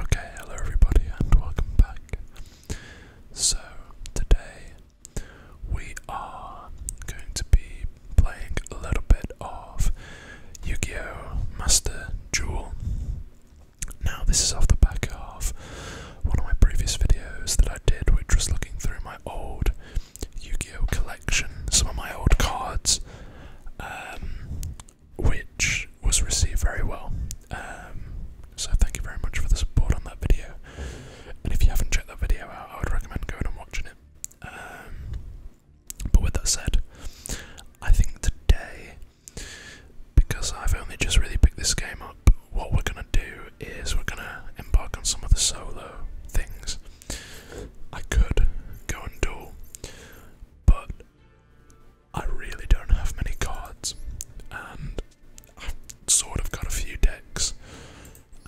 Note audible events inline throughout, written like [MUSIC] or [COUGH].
Okay, hello everybody, and welcome back. So, today we are going to be playing a little bit of Yu Gi Oh! Master Duel. Now, this is off the back of one of my previous videos that I did, which was looking through my old Yu-Gi-Oh collection, some of my old cards, um, which was received very well. Um, so thank you very much for the support on that video. And if you haven't checked that video out, I would recommend going and watching it. Um, but with that said, I think today, because I've only just really picked this game up, what we're gonna do is we're gonna embark on some of the solo things. I could go and do, but I really don't have many cards, and sort of got a few decks.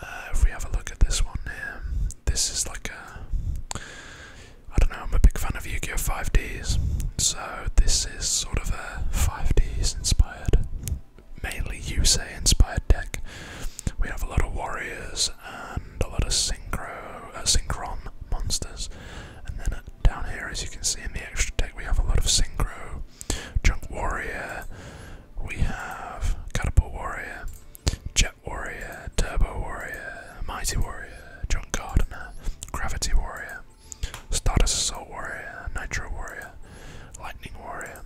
Uh, if we have a look at this one here, this is like a. I don't know, I'm a big fan of Yu Gi Oh! 5Ds, so this is sort of a 5Ds inspired mainly Yusei inspired deck. We have a lot of warriors and a lot of synchro, uh, synchron monsters, and then uh, down here, as you can see in the extra deck, we have a lot of synchro, junk warrior. We have catapult warrior, jet warrior, turbo warrior, mighty warrior, junk gardener, gravity warrior. status Assault Warrior, Nitro Warrior, Lightning Warrior,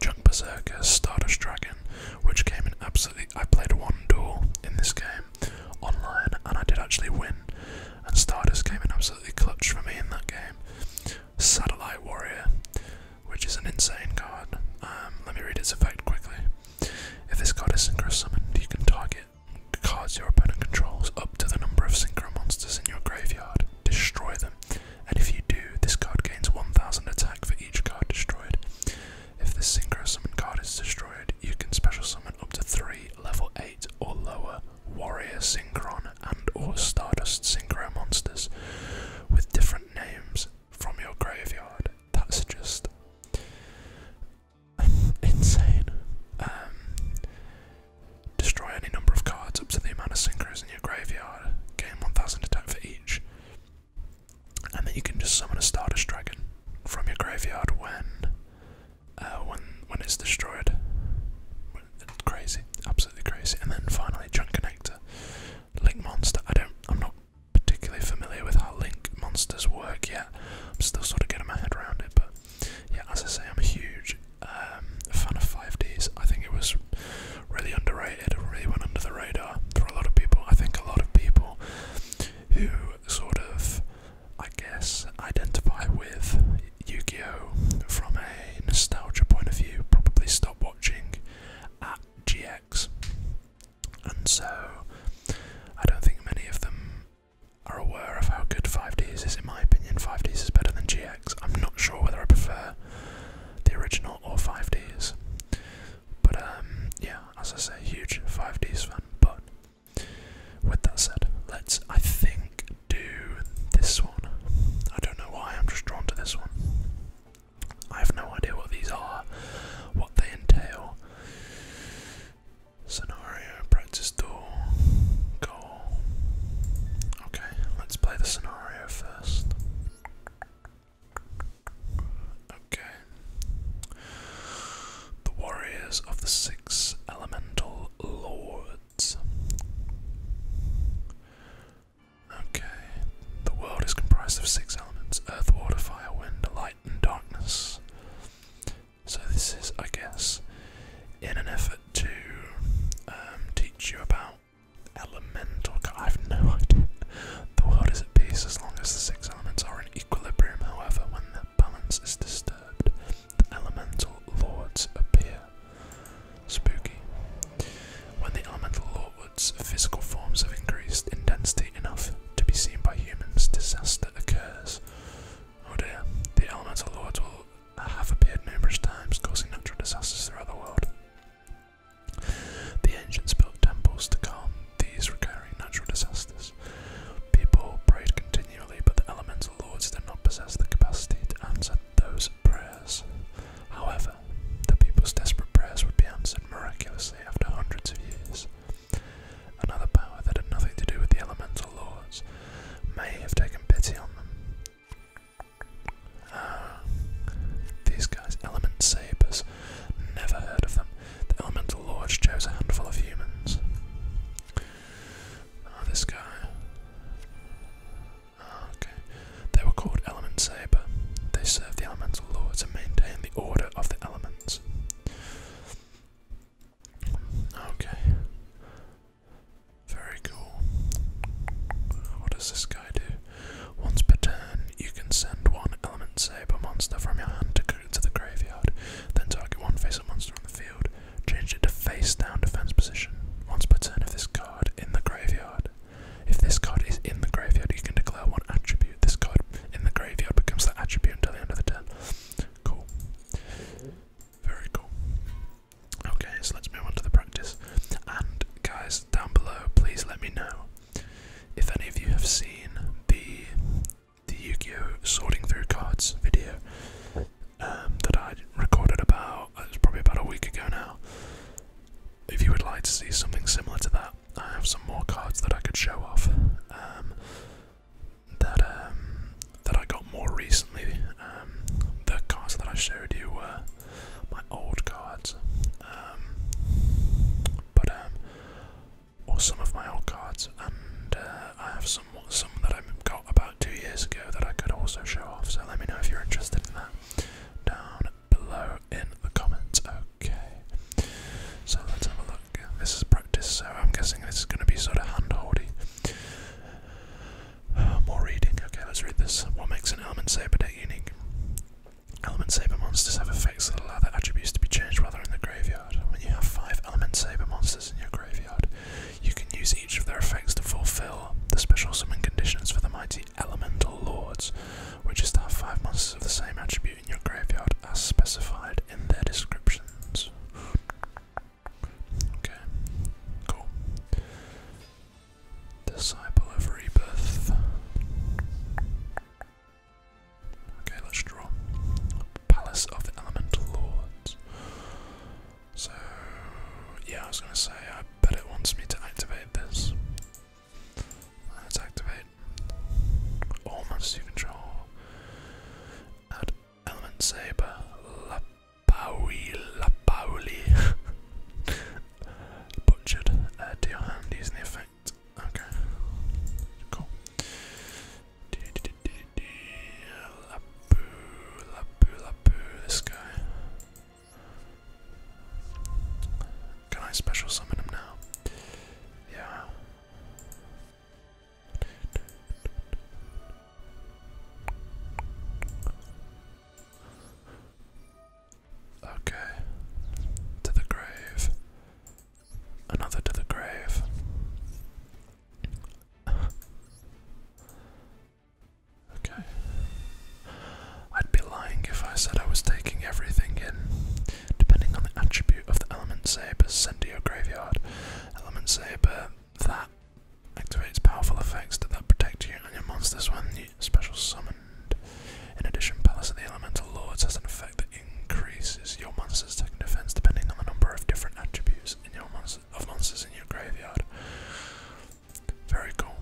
Junk Berserker, Stardust Dragon, which came in absolutely. I played one duel in this game online and I did actually win, and Stardust came in absolutely clutch for me in that game. Satellite Warrior, which is an insane card. Um, let me read its effect quickly. If this card is synchro summoned, you can target cards your opponent controls up to the number of synchro monsters in your graveyard, destroy them, and if you do, this card gains 1000 attack for each card destroyed. If the synchro summon card is destroyed, you can special summon up to 3 level 8 or lower warrior Synchro and or stardust synchro monsters with different names from your graveyard. That's just [LAUGHS] insane. Um, destroy any number of cards up to the amount of synchros in graveyard, gain 1000 attack for each. And then you can just summon a Stardust Dragon from your graveyard when uh, when when it's destroyed. crazy, absolutely crazy. And then finally, Junk Connector, Link Monster. I don't, I'm not particularly familiar with how Link Monsters work yet. I'm still sort of getting my head around it, but yeah, as I say, I'm a huge um, fan of 5Ds. I think it was really underrated, really went under the radar for a lot of people. I think a lot of people who sort of, I guess, identify with Yu-Gi-Oh from a nostalgia point of view probably stop watching at GX, and so I don't think many of them are aware of how good 5Ds is in my opinion. 5Ds is better than GX. I'm not sure whether I prefer the original or 5Ds. But um, yeah, as I say, huge 5Ds fan. But with that said, let's, I think, do this one. I don't know why, I'm just drawn to this one. I have no idea what these are, what they entail. Scenario, practice door, goal. Okay, let's play the scenario first. Okay. The warriors of the six elemental lords. Okay. The world is comprised of six elements earth, water, fire, wind, light, and darkness. So, this is, I guess, in an effort to um, teach you about elemental. I have no idea. The world is at peace as long as the six elements are in equilibrium. However, when their balance is disturbed, the elemental lords appear. Spooky. When the elemental lords' physical forms have increased in density enough to be seen by humans, disaster occurs. Oh dear, the elemental lords have appeared numerous times, causing natural disasters throughout the world. The ancients built temples to calm these recurring natural disasters. People prayed continually, but the elemental lords did not possess the capacity to answer those prayers. However, the people's desperate prayers would be answered miraculously after hundreds of years. Another power that had nothing to do with the elemental lords may have taken pity on them [SIGHS] these guys, element sabers, never heard of them. The elemental lords chose a handful of humans. Ah, this guy. Ah, okay, they were called element saber. They serve the elemental lords and maintain the order of the elements. Okay. Very cool. What does this guy do? Once per turn, you can send one element saber monster from your hand to, the graveyard, then target one face up monster on the field, change it to face down defense position. Once per turn, if this card in the graveyard. If this card is in the graveyard, you can declare one attribute. This card in the graveyard becomes that attribute until the end of the turn. Cool. Very cool. Okay, so let's move on to the practice. And guys, down below, please let me know if any of you have seen the the Yu-Gi-Oh sorting through cards video um, that I recorded about uh, it was probably about a week ago now. If you would like to see something similar to that, I have some more cards that I could show off um, that um, that I got more recently. the cards that I showed you were my old cards, um, but um, or some of my old cards, and uh, I have some some that I got about two years ago that I could also show off. So let me know if you're interested in that down below in the comments. Okay, so let's have a look. This is practice, so I'm guessing this is going to be sort of hand holdy more reading. Okay, let's read this. What makes an element saber unique? Element saber monsters have effects that allow their attributes to be changed while they're in the graveyard. When you have five element saber monsters in your graveyard, you can use each of their effects to fulfill the special summon conditions for the mighty elemental lords, which is to have five monsters of the same attribute in your graveyard as specified in their descriptions. Okay, cool. Disciple of Rebirth. Okay, let's draw. Palace of Elemental Lords. So, yeah, I was gonna say, I bet it wants me to activate this. Let's activate all you control. Add Element Saber, Pauli, La Pauli. Butchered. Uh, your hand using the effect. Okay. Cool. La Poo, La Poo, La Poo, this guy. Can I special summon him now? Yeah. Okay. To the grave. Another to the grave. okay. I'd be lying if I said I was taking everything in. Depending on the attribute of the element saber sent to your graveyard. Element saber that activates powerful effects that, protect you and your monsters when you special summon, In addition, Palace of the Elemental Lords has an effect that increases your monster's attack defense depending on the number of different attributes in your monster of monsters in your graveyard. Very cool.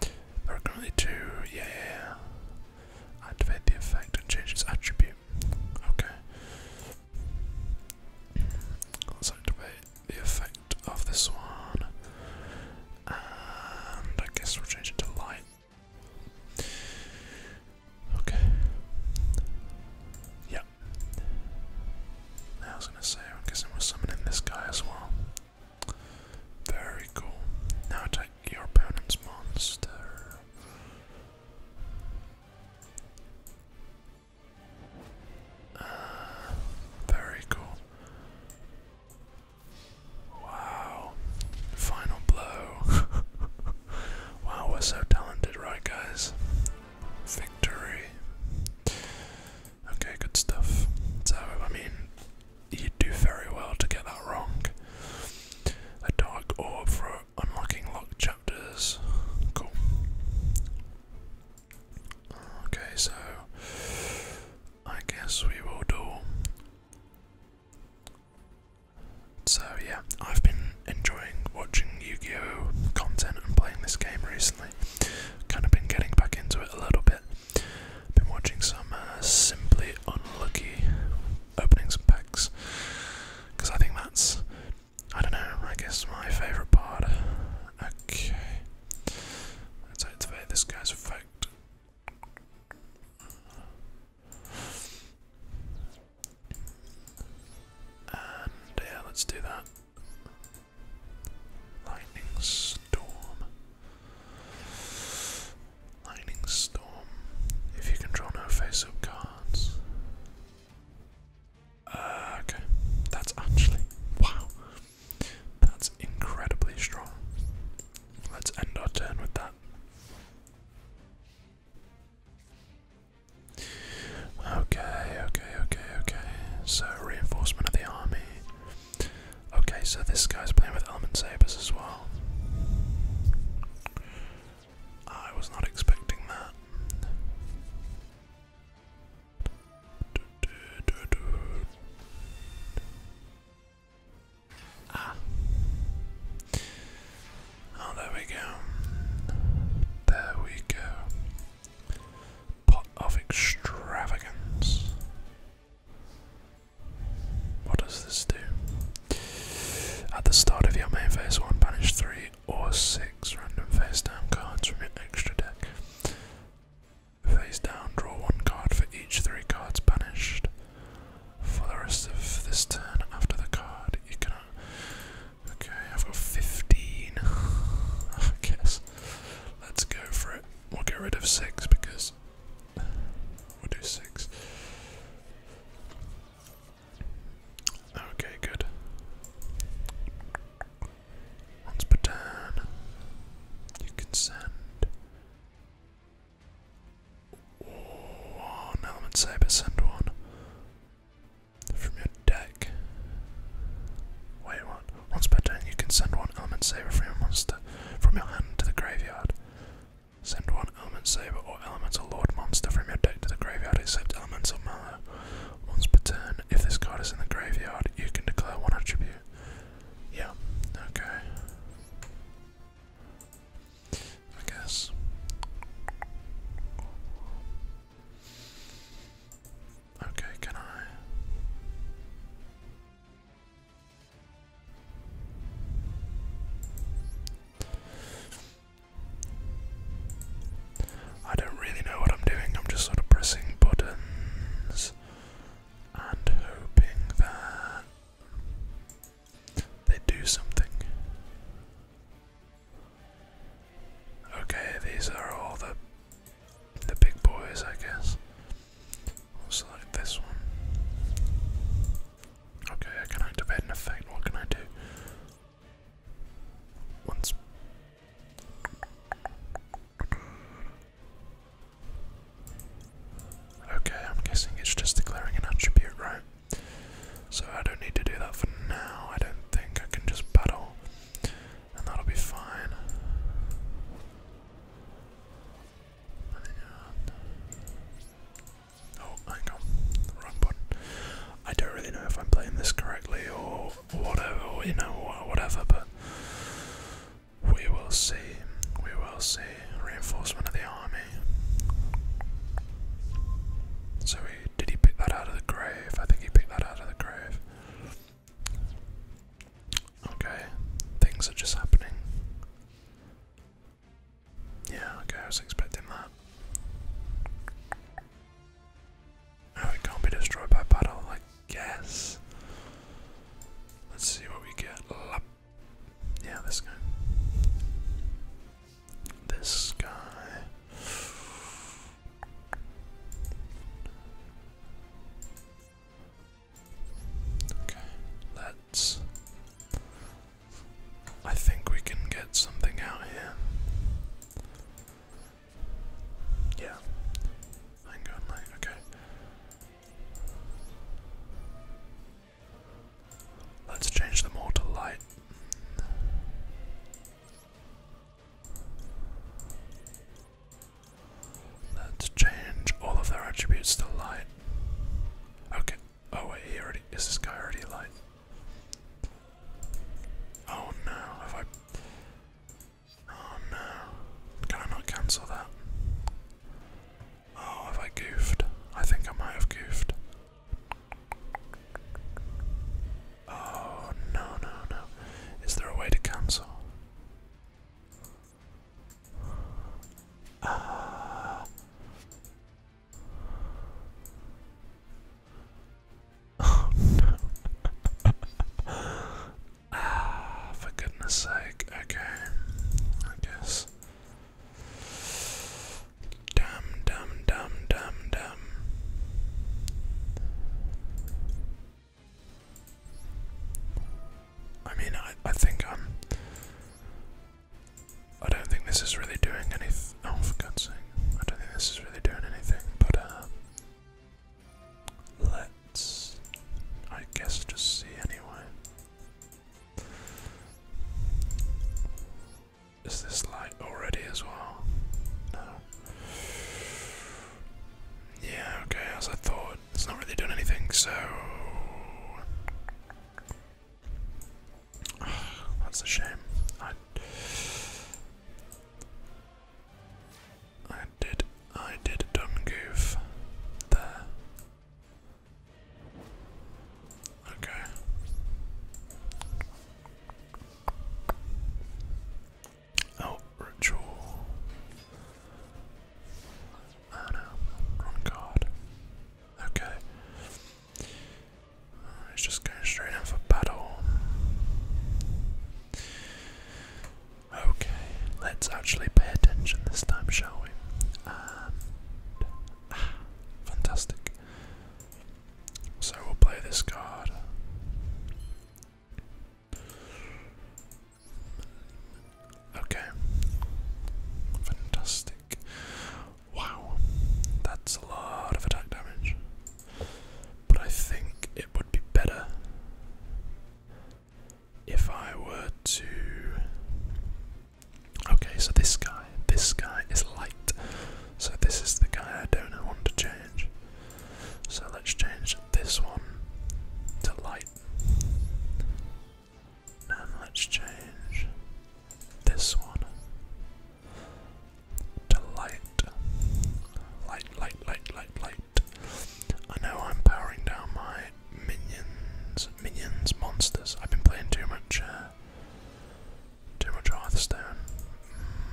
There are currently two. Yeah, yeah, yeah. Activate the effect and change its attribute. Okay. Let's activate the effect of this one. And I guess we'll change it to light. Okay. Yep. I was gonna say, I'm guessing we're summoning this guy as well. Very cool. Now attack your opponent's monster very cool. Wow. Final blow. [LAUGHS] wow, we're so talented, right, guys? Victory. Okay, good stuff. So, I mean, you do very well to get that wrong. A dark orb for unlocking locked chapters. Cool. Okay, so I guess we will do. So, yeah, I've been enjoying watching Yu Gi Oh! content and playing this game recently. Kind of been getting back into it a little bit. Been watching some uh, Simply Unlucky openings and packs because I think that's I don't know, I guess my favourite part. Okay. Let's activate this guy's effect. And yeah, let's do that. Lightning storm. Lightning storm. If you control no face up cards okay, that's actually wow. That's incredibly strong. Let's end our turn with that. Okay, okay, okay, okay. So reinforcement of the army. Okay, so this guy's playing with element sabers as well. I was not expecting that. Ah. Oh, there we go. There we go. Pot of extravagance. What does this do? At the start of your main phase one, banish three or six random face down cards from your extra deck. Face down, draw one card for each three cards banished. For the rest of this turn, after the card, you cannot. Okay, I've got 15. [LAUGHS] I guess. Let's go for it. We'll get rid of six because. We'll do six. Okay, good. Once per turn, you can send one element saber, send one from your deck. Wait, what? Once per turn, you can send one element saber from your monster from your hand to the graveyard. Send one element saber or elemental lord monster from your deck to the graveyard, except elemental mana. Once per turn, if this card is in the graveyard, you can declare one attribute. Yeah, okay. I guess. Okay, can I? I don't really know what I'm doing, I'm just sort of pressing buttons and hoping that they do something. Okay, these are all the the big boys, I guess. We'll select this one. Okay, I can activate an effect. What can I do? Okay, I'm guessing it's just declaring an attribute, right? So I don't need to do that for now. I don't think I can just battle, and that'll be fine. Oh, hang on, wrong button. I don't really know if I'm playing this correctly or whatever, or, you know, or whatever, but we will see. We will see. Reinforcement of the army. So he, did he pick that out of the grave? I think he picked that out of the grave. Okay, things are just happening. Yeah, okay, I was expecting that it can't be destroyed by battle, I guess. Let's see what we get. Yeah, this guy. This guy. Okay, let's. I think we can get something out here. Yeah. I okay. Let's change them all to light. Let's change all of their attributes to light. Okay. Oh wait, is this guy already light? Oh no, have I. Oh no. Can I not cancel that? Oh, have I goofed? I think I might have goofed. Oh no, no, no. Is there a way to cancel? Ah. Oh for goodness sake. Okay. I guess. Damn, damn, damn, damn, damn. I mean, I, I think I'm. Um, I don't think this is really doing anything. Oh, for God's sake. I don't think this is really doing anything, but uh, let's, I guess, just see anyway. Is this light already as well? No. Yeah, okay, as I thought, it's not really doing anything, so. [SIGHS] That's a shame. I I did I did a dumb goof there. Okay. Oh, ritual. Oh no, wrong card. Okay. He's just going straight in for battle. Okay, let's actually pay attention this time, shall we? Ah, fantastic. So we'll play this card. Okay. Fantastic. Wow, that's a lot of attack damage. But I think it would be better if I were to. Okay, so this guy, this guy is light. So this is the guy I don't want to change. So let's change this one to light. And let's change this one to light. Light, light, light, light, light. I know I'm powering down my minions, minions, monsters. I've been playing too much, uh, too much Hearthstone.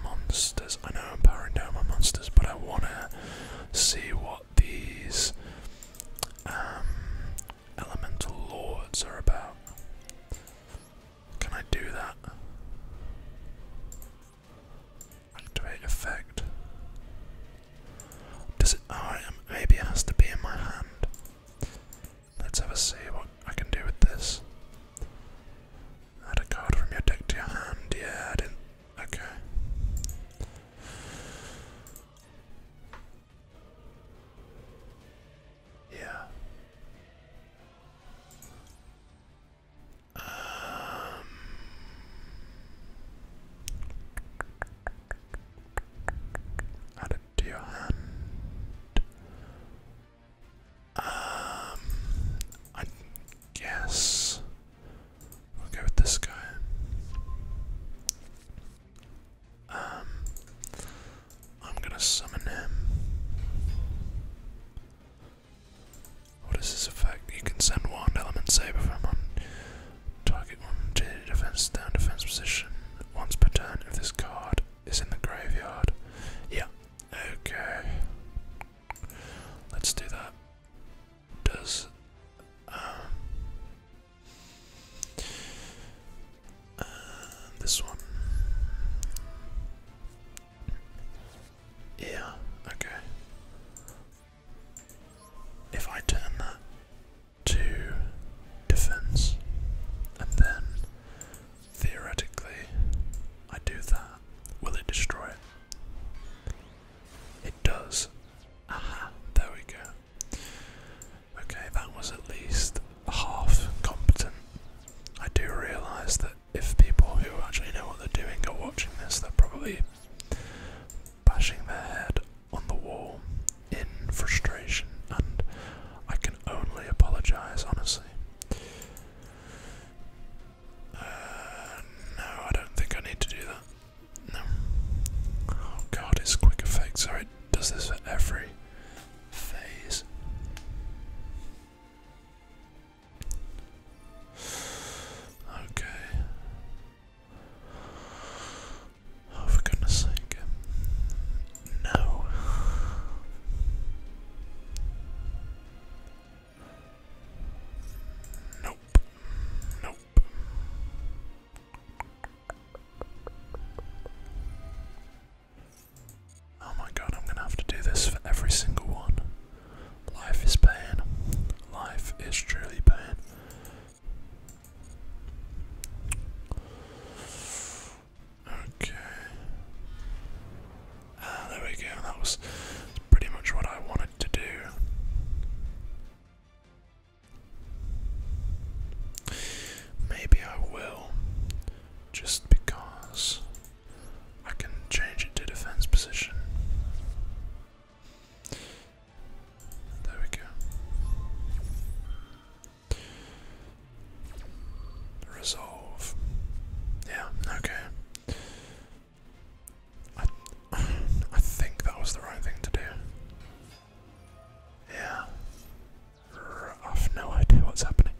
Monsters. I know I'm powering down my monsters, but I wanna see what these um, elemental lords are about. Can I do that? Activate effect. Does it? Oh, maybe has to be in my hand. Let's have a see what I can do with this. Add a card from your deck to your hand. Yeah, I didn't. Okay. Yeah. Um, add to your hand. Um, I guess we'll go with this guy. Um, I'm gonna summon him. What is this effect? You can send wand element saber from on target one to defense down defense position once per turn if this card is in the graveyard. Yeah. Okay. Let's do that. Does um, this one. Yeah, okay. If I turn that to defense, and then theoretically I do that, will it destroy it? It does. Aha, there we go. Okay, that was at least half competent. I do realise that if people who actually know what they're doing are watching this, they're probably bashing their head on the wall in frustration, and I can only apologise, honestly. Uh, no, I don't think I need to do that. No. Oh god, it's quick effect. Sorry, it does this for every phase. Okay. Oh, for goodness sake. No. Nope. Nope. Oh my god, I'm gonna have to do this for every single one. Life is pain. Life is truly pain. Okay. Ah, there we go. That was pretty much what I wanted to do. Maybe I will, just because I can change it to defense position. There we go. Resolve. Yeah, okay. I, [SIGHS] I think that was the right thing to do. Yeah. I've no idea what's happening.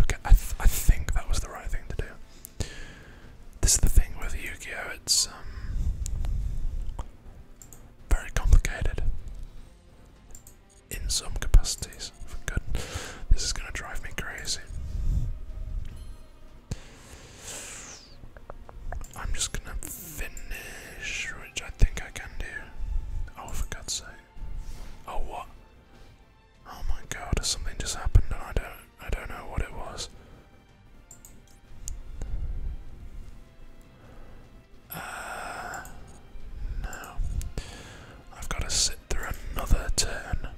Okay, I, I think that was the right thing to do. This is the thing with Yu-Gi-Oh! It's um, very complicated in some capacities. For good, this is going to drive me crazy. I'm just going to finish, which I think I can do. Oh, for God's sake. Oh what? Oh my god, something just happened and I don't I don't know what it was. Uh no. I've gotta sit through another turn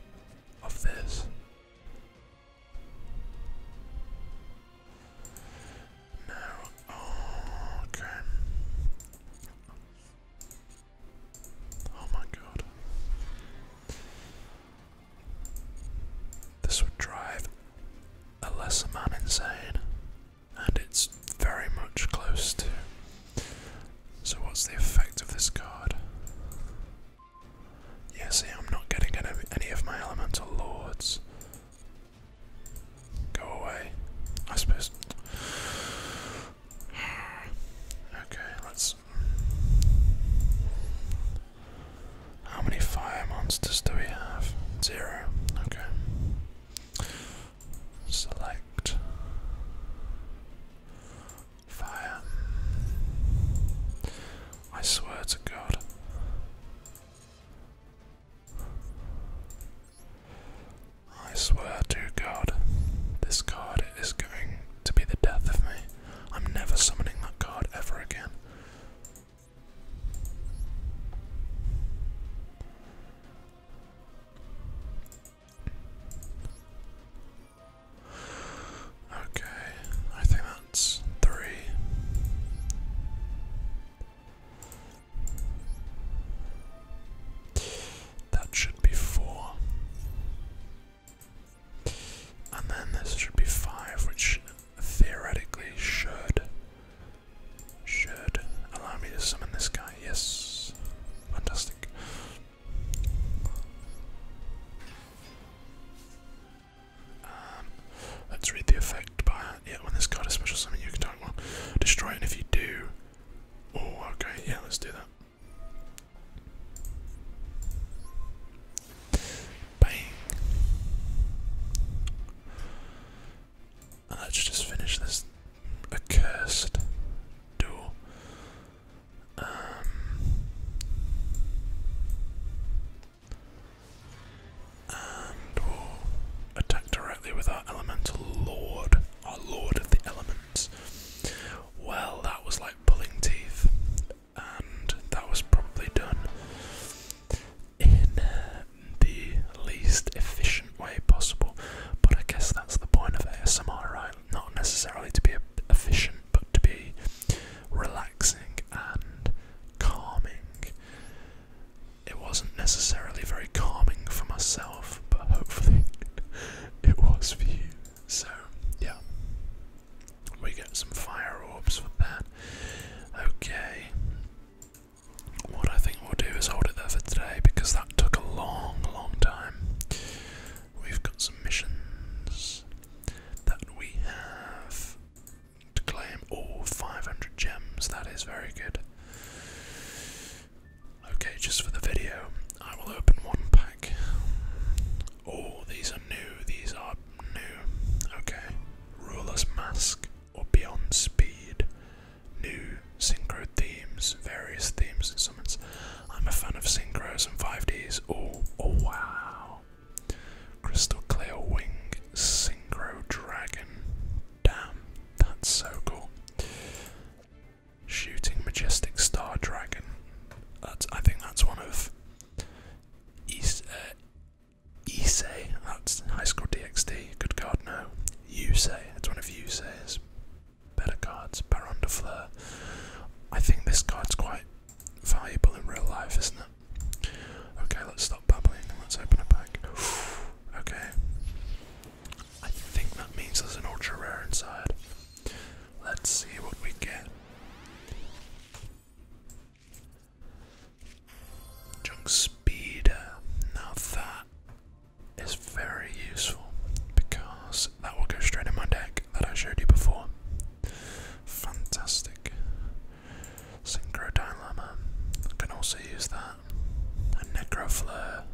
of this. No. okay. Oh my god. This would drive a lesser man insane, and it's very much close to. So, what's the effect of this card? Yeah, see, I'm not getting any of my elemental lords. Go away, I suppose. Okay, let's. How many fire monsters do we have? Zero. Okay. Select fire. I swear to God. I swear to God, this card is going to be the death of me. I'm never summoning that card ever again. Okay, I think that's three. That should be four. And then this should be five, which theoretically should should allow me to summon this guy. Yes. Fantastic. Um, let's read the effect yeah, when this card is special summon, you can target one. Destroy it, and if you do. Oh, okay, yeah, let's do that. Bang! let's just finish this accursed duel. And we'll attack directly with our elemental lord, our lord of the elements. Well, that was like pulling teeth, and that was probably done in uh, the least efficient way possible. But I guess that's the point of ASMR, right? Not necessarily to be efficient, but to be relaxing and calming it wasn't necessarily very calming for myself, but hopefully [LAUGHS] it was for you. So, yeah. We get some fire orbs for that. Okay. What I think we'll do is hold it there for today because that took a long, long time. We've got some missions that we have to claim all 500 gems. That is very good. Okay, just for the video, I will open one pack. Oh, these are new. These are new. Okay. Ruler's Mask or Beyond Speed. New synchro themes, various themes and summons. I'm a fan of synchros and 5Ds. Oh, oh wow. Crystal Clear Wing Synchro Dragon. Damn, that's so cool. Shooting majestic star dragon. That's I think that's one of Is uh, That's high school DxD. Good card no. Yusei. It's one of Yusei's better cards. Baron de Fleur. I think this card's quite valuable in real life, isn't it? Okay, let's stop bubbling. and let's open a pack. [SIGHS] okay. I think that means there's an ultra rare inside. Let's see what we get. Junk speed. Now that is very useful because that will go straight in my deck that I showed you before. Fantastic. Synchro Dilemma. Can also use that. A Necro Flare.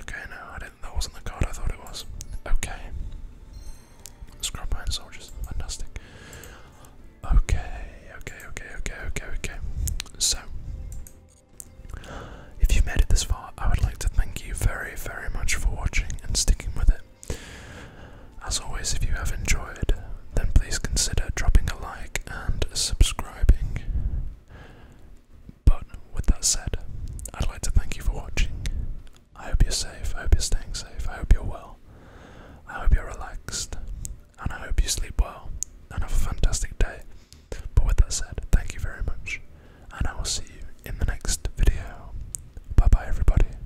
Okay, no, I didn't. That wasn't the card I thought it was. Okay. Scrub Soldiers. Fantastic. Okay, okay, okay, okay, okay, okay. So, if you've made it this far, I would like to thank you very, very much for watching and sticking with it. As always, if you have enjoyed, then please consider dropping a like and subscribing. But with that said, I'd like to thank you for watching. I hope you're safe, I hope you're staying safe, I hope you're well, I hope you're relaxed, and I hope you sleep well and have a fantastic day. But with that said, thank you very much, and I will see you in the next video. Bye bye, everybody.